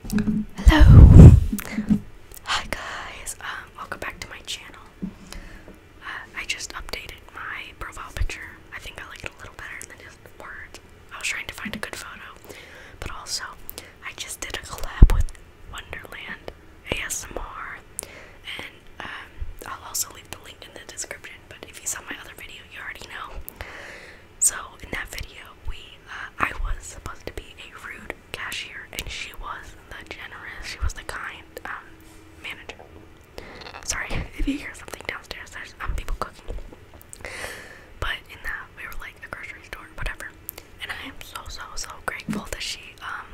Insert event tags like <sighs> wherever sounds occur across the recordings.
Hello! Hi guys! Um, welcome back to my channel. Uh, I just updated my profile picture. I think I like it a little better than it is words. I was trying to find a good photo, but also I just did a collab with Wonderland ASMR, and um, I'll also leave the link in the description. But if you saw my other video, you already know. So in that video, we uh, I was supposed to be a rude cashier, and she was the generous. She was the kind um, manager. Sorry <laughs> if you hear something downstairs. There's um, people cooking. But in that we were like a grocery store, whatever. And I am so so so grateful that she um,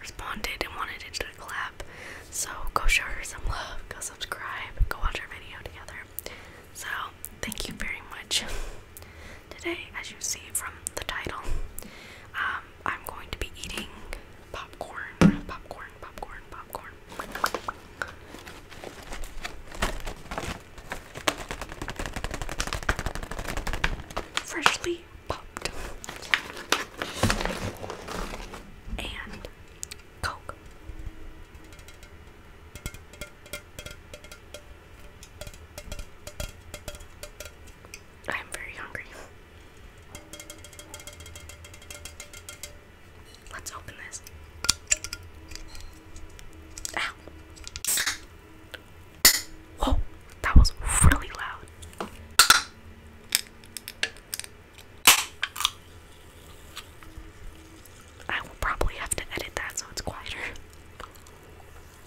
responded and wanted to clap. So go show her some love. Go subscribe. Go watch her video together. So, thank you very much. Today, as you see from the title, um, I'm going to be eating popcorn, popcorn, popcorn, popcorn. Freshly popped. And Coke. I'm very hungry. Let's open this. Ow. Whoa, that was really loud. I will probably have to edit that so it's quieter.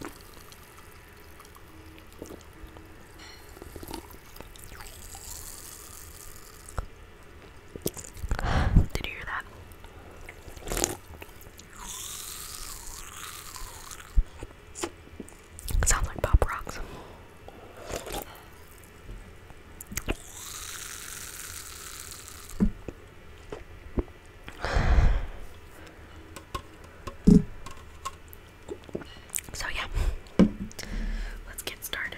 <sighs> Did you hear that? sounds like pop rocks. So, yeah, let's get started.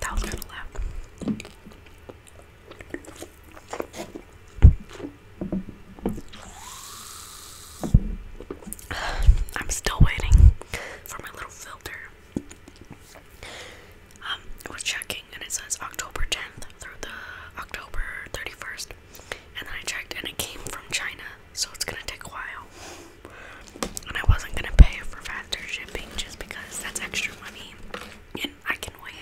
That was kind of loud. <sighs> I'm still waiting for my little filter um, was checking and it says October 10th through the October 31st. And then I checked and it came from China, so it's gonna take a while. And I wasn't gonna pay for faster shipping just because that's extra money and I can wait.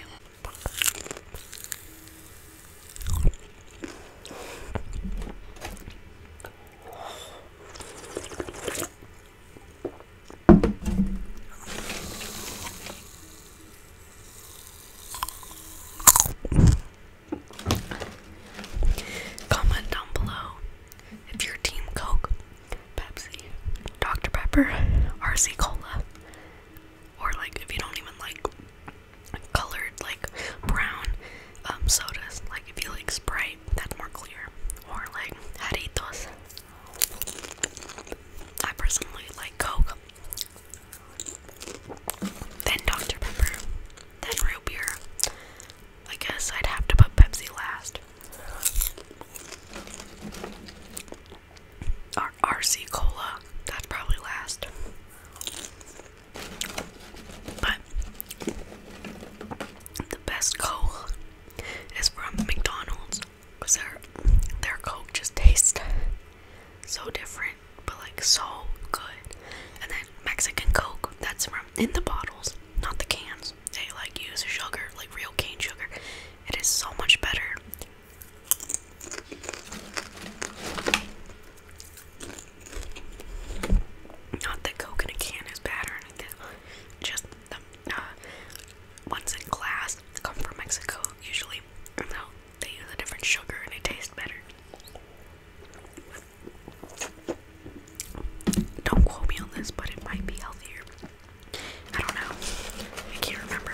Comment down below if you Team Coke, Pepsi, Dr. Pepper, RC Cola, or like if you don't even like colored, like brown um, sodas, like if you like Sprite, that's more clear, or like Haritos. I personally like Coke, then Dr. Pepper, then real beer. I guess I'd have to put Pepsi last. Or RC Cola, that's probably last. But the best cola is from McDonald's. Cause their their Coke just tastes so different, but like so good. And then Mexican Coke, that's from in the bottles, not the cans. They like use sugar, like real cane sugar. It is so much better. Not that Coke can is bad or anything. Just the uh, ones in class come from Mexico usually. No, they use a different sugar and it tastes better. Don't quote me on this, but it might be healthier. I don't know. I can't remember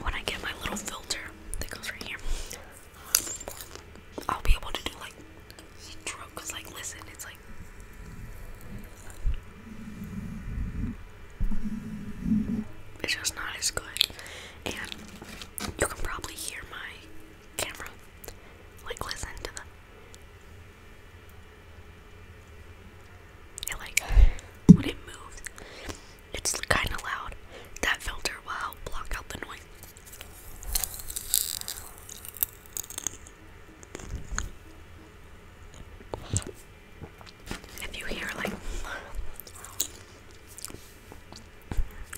when I get my little filter that goes right here, I'll be able to do like Cause like, listen, it's like. It's just not as good, and you can probably hear my camera. Like, listen to the. like when it moves, it's kind of loud. That filter will help block out the noise. If you hear like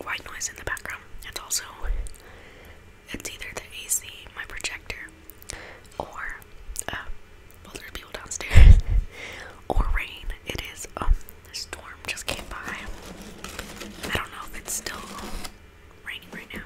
white noise in the background, it's also it's either the AC, my projector, or uh, there's people downstairs, <laughs> or rain. It is um, the storm just came by. I don't know if it's still raining right now.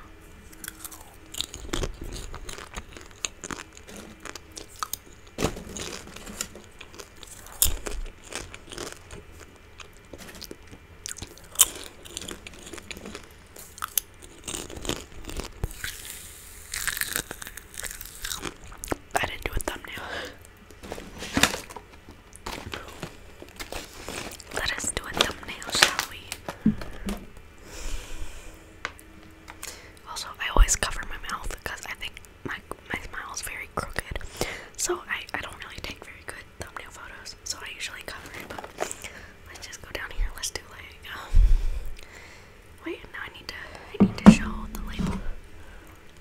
I didn't do a thumbnail. Let us do a thumbnail, shall we? Also, I always cover my mouth because I think my my smile is very crooked. So I, I don't really take very good thumbnail photos. So I usually cover it, but let's just go down here. Let's do like um, Wait, now I need to I need to show the label.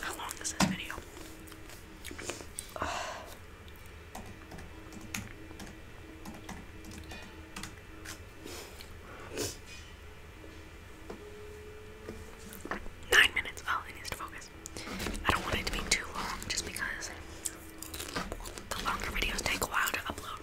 How long is this video? Nine minutes. Oh, it needs to focus. I don't want it to be too long just because the longer videos take a while to upload.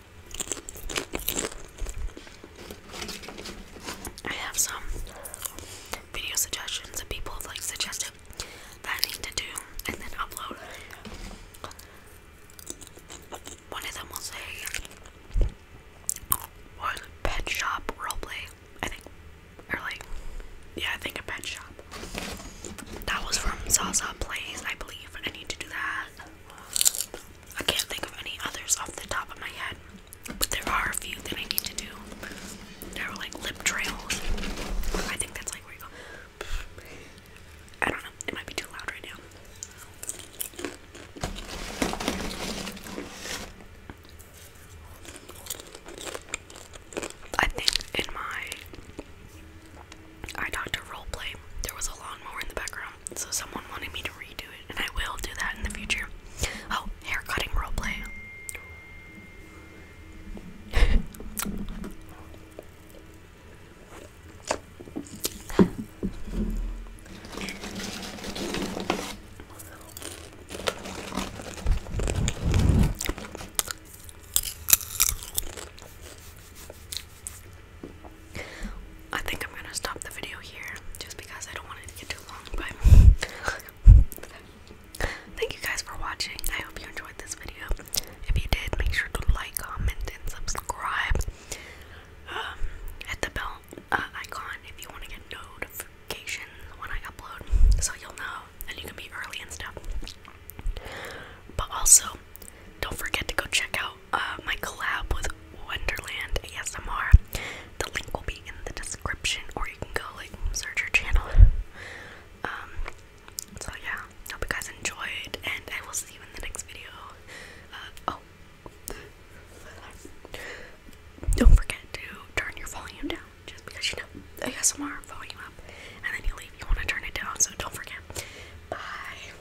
I have some video suggestions that people have like suggested that I need to do and then upload. One of them will say pet shop roleplay, I think. Or like yeah, I think a pet shop. That was from Zaza Plays, I believe. I need to do that. I can't think of any others off the top of my head, but there are a few that I need to do. There are like lip trails. I think that's like where you go. I don't know. It might be too loud right now. I think in my eye doctor roleplay, there was a lawnmower in the background so someone wanted me to redo it, and I will do that in the future. Oh, hair cutting roleplay. I think I'm gonna stop the video here just because I don't want it to get too long. But <laughs> thank you guys for watching. I hope you enjoyed this video. If you did, make sure to like, comment, and subscribe. Um, hit the bell uh, icon if you want to get notifications when I upload, so you'll know and you can be early and stuff. But also, don't forget to go check out uh, my collab with Wonderland ASMR. The link will be in the description, or you can go like search your channel. Um, so yeah, hope you guys enjoyed, and I will see you in the next video. Uh, oh, don't forget to turn your volume down, just because you know ASMR volume up, and then you leave. You want to turn it down, so don't forget. Bye.